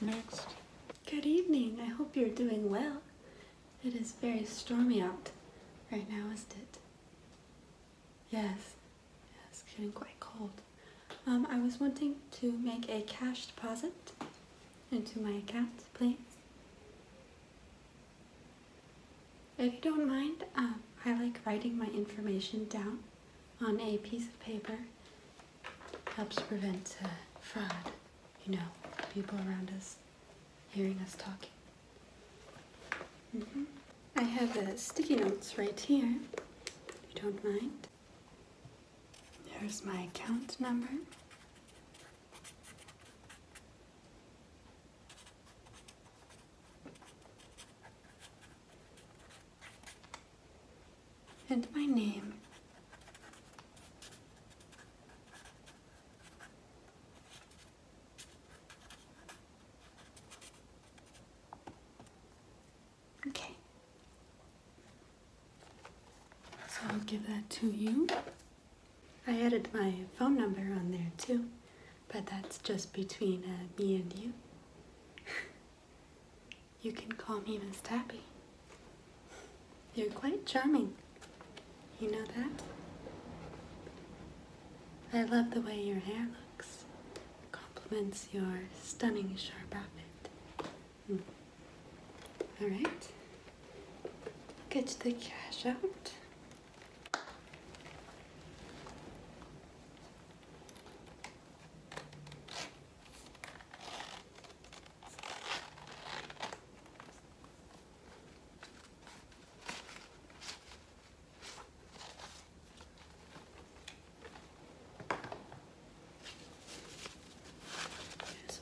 Next. Good evening. I hope you're doing well. It is very stormy out right now, isn't it? Yes. It's getting quite cold. Um, I was wanting to make a cash deposit into my account, please. If you don't mind, um, I like writing my information down on a piece of paper helps prevent uh, fraud, you know, people around us hearing us talking. Mm-hmm. I have uh, sticky notes right here, if you don't mind. There's my account number and my name. Okay. So I'll give that to you. I added my phone number on there too, but that's just between uh, me and you. You can call me Miss Tappy. You're quite charming. You know that? I love the way your hair looks. It complements your stunning sharp outfit. Hmm. All get the cash out.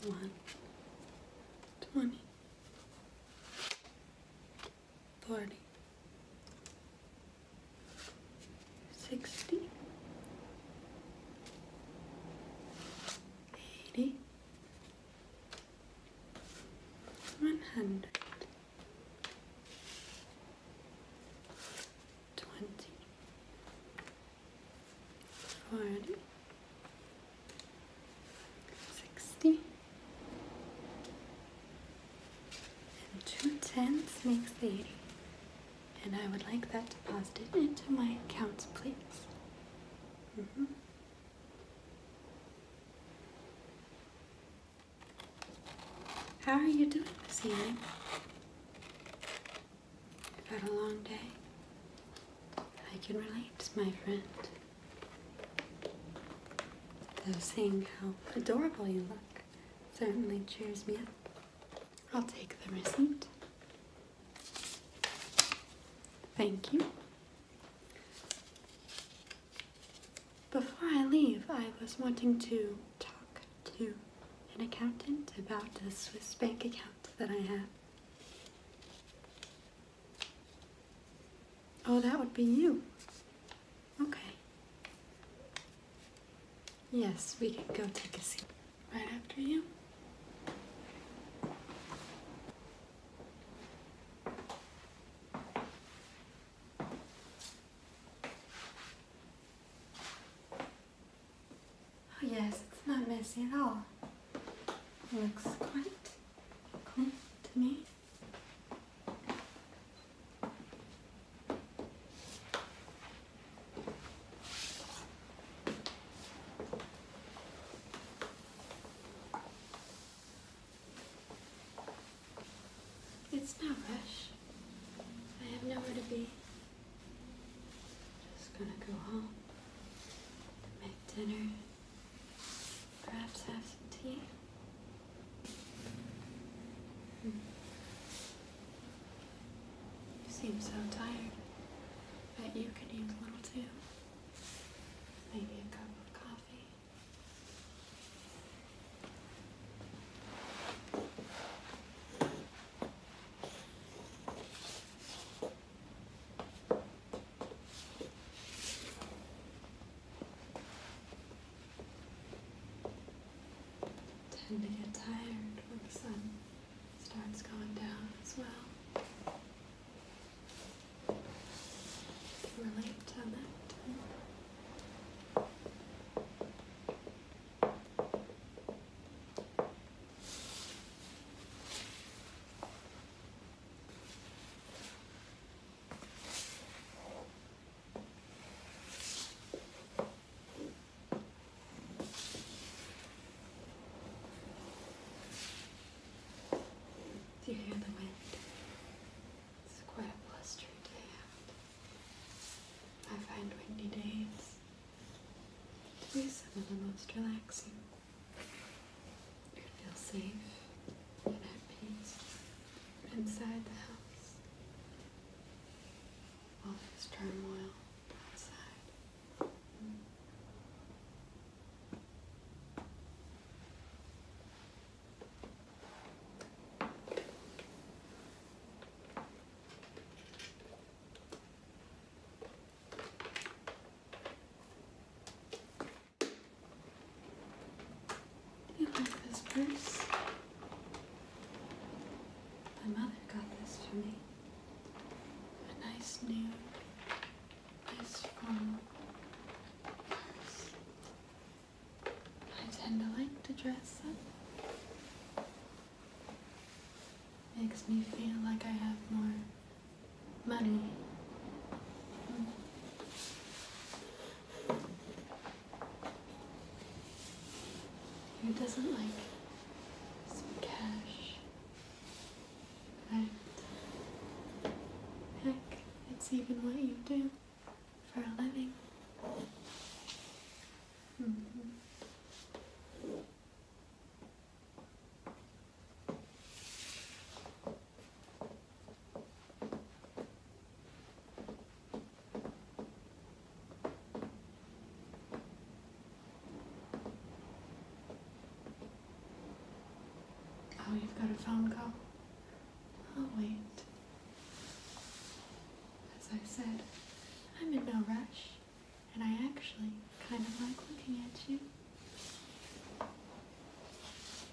Here's one twenty. 40 60 80 100 20 40 60 and two tens makes the 80. And I would like that deposited into my accounts, please. Mm-hmm. How are you doing this evening? You've had a long day. I can relate, my friend. I was saying how adorable you look certainly cheers me up. I'll take the receipt. Thank you. Before I leave, I was wanting to talk to an accountant about the Swiss bank account that I have. Oh, that would be you. Okay. Yes, we can go take a seat right after you. Oh yes, it's not messy at all. looks quite clean to me. It's no rush. I have nowhere to be. Just gonna go home, make dinner, Perhaps have some tea? Hmm. You seem so tired. Bet you could use a little too. Maybe a cup of coffee tend to get tired when the sun starts going down as well. relate on that. Do you hear the wind? It's quite a blustery day out. I find windy days to be some of the most relaxing. You can feel safe and at peace inside the house. while this turmoil outside. You like this purse? My mother got this for me. A nice new, nice formal purse. I tend to like to dress up. Makes me feel like I have more money. Hmm. Who doesn't like cash? Heck, it's even what you do for a living. Mm-hmm. Oh, you've got a phone call? I'll wait. As I said, I'm in no rush, and I actually kind of like looking at you.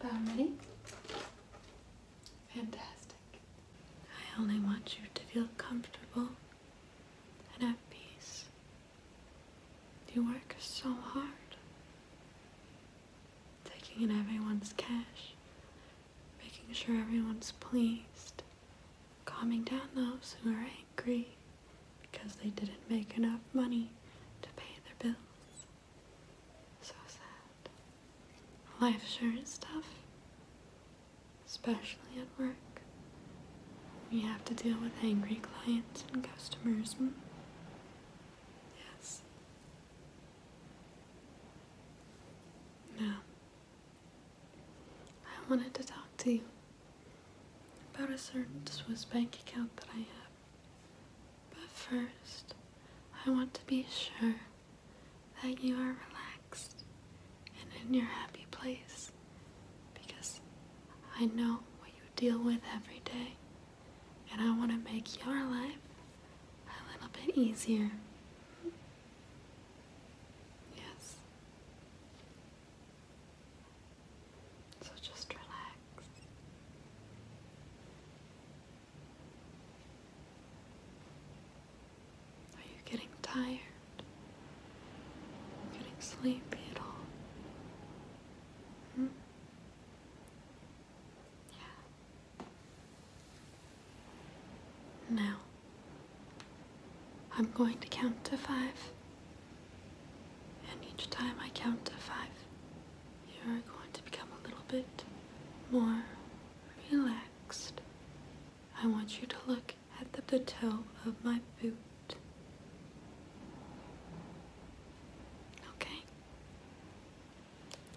Are you about ready? Fantastic. I only want you to feel comfortable and at peace you work so hard, taking in everyone's cash, making sure everyone's pleased, calming down those who are angry because they didn't make enough money to pay their bills. So sad. Life sure is tough, especially at work. We have to deal with angry clients and customers. Hmm? Yes. Now, I wanted to talk to you about a certain Swiss bank account that I have. But first, I want to be sure that you are relaxed and in your happy place because I know what you deal with every day, and I want to make your life a little bit easier. Yes. So just relax. Are you getting tired? Getting sleepy at all? Hmm? Yeah. Now, I'm going to count to five. And each time I count to five, you're going to become a little bit more relaxed. I want you to look at the toe of my boot. Okay?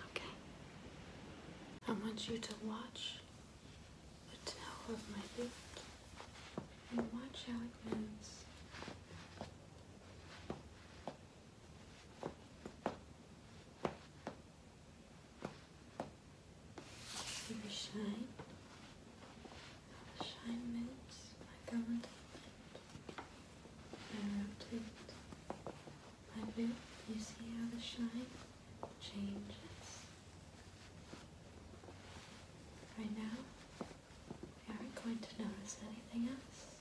Okay. I want you to watch the toe of my boot and watch how it moves. See the shine? The shine moves like I want it. my boot. You see how the shine changes? Right now, we aren't going to notice anything else.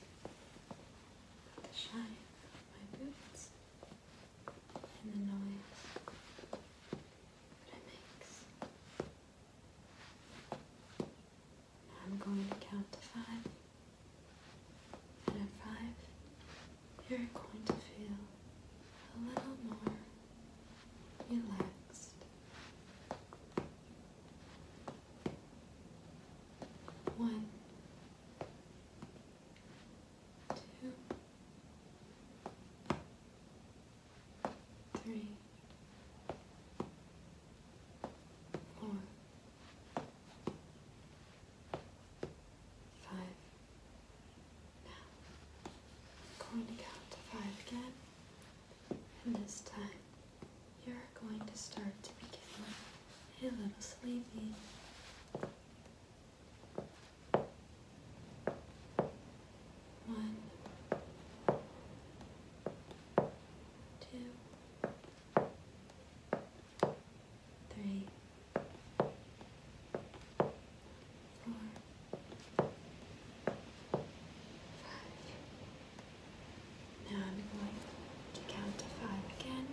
But the shine of my boots and the noise I'm going to count to five. And at five, you're going to feel a little more relaxed. One, two, three, four, five. Now, I'm going to count to five again, and this time you're going to start to begin a little sleepy. One, two, three, four, five. Now I'm going to count to five again,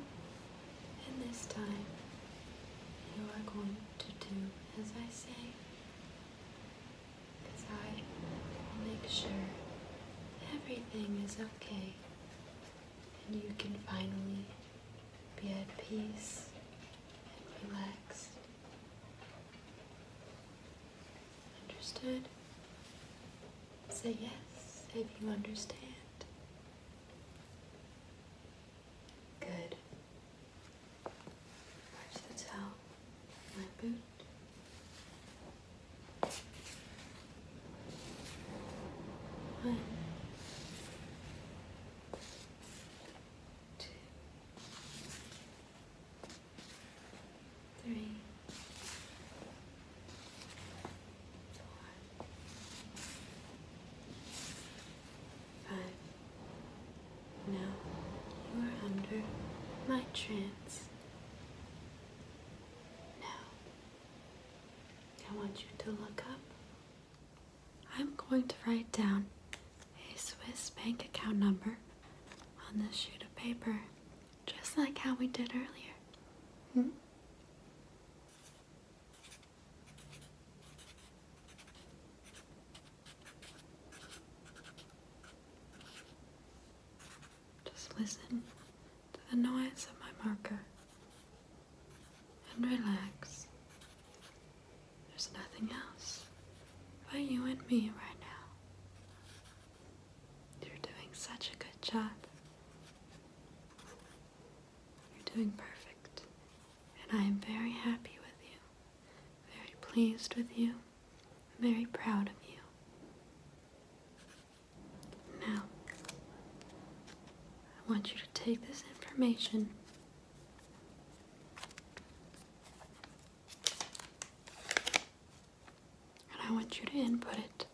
and this time you are going to do as I say. Because I will make sure everything is okay and you can finally be at peace and relaxed. Understood? Say yes if you understand. Good. Watch the toe my boot. One, two, three, four, five. Now you are under my trance. Now, I want you to look up. I'm going to write down a Swiss bank account number on this sheet of paper, just like how we did earlier. Hmm? Just listen to the noise of my marker and relax. There's nothing else but you and me right now. You're doing such a good job. You're doing perfect, and I am very happy with you, very pleased with you, very proud of you. Now, I want you to take this information and I want you to input it.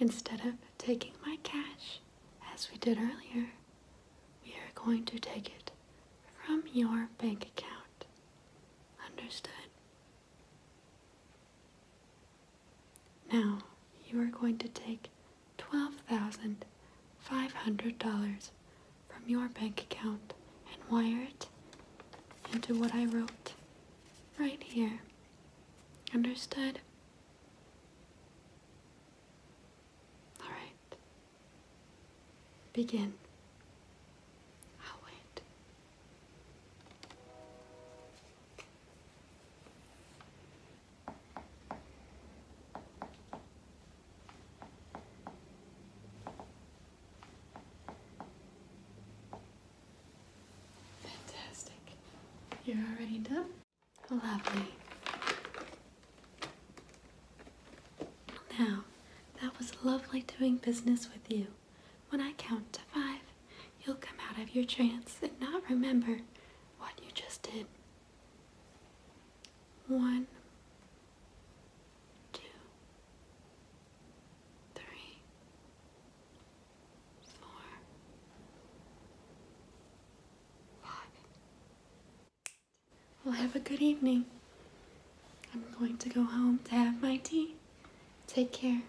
Instead of taking my cash, as we did earlier, we are going to take it from your bank account. Understood? Now you are going to take $12,500 from your bank account and wire it into what I wrote right here. Understood? All right. Begin. I'll wait. Fantastic. You're already done. Lovely. Now, that was lovely doing business with you. When I count to five, you'll come out of your trance and not remember what you just did. One, two, three, four, five. Well, have a good evening. I'm going to go home to have my tea. Take care.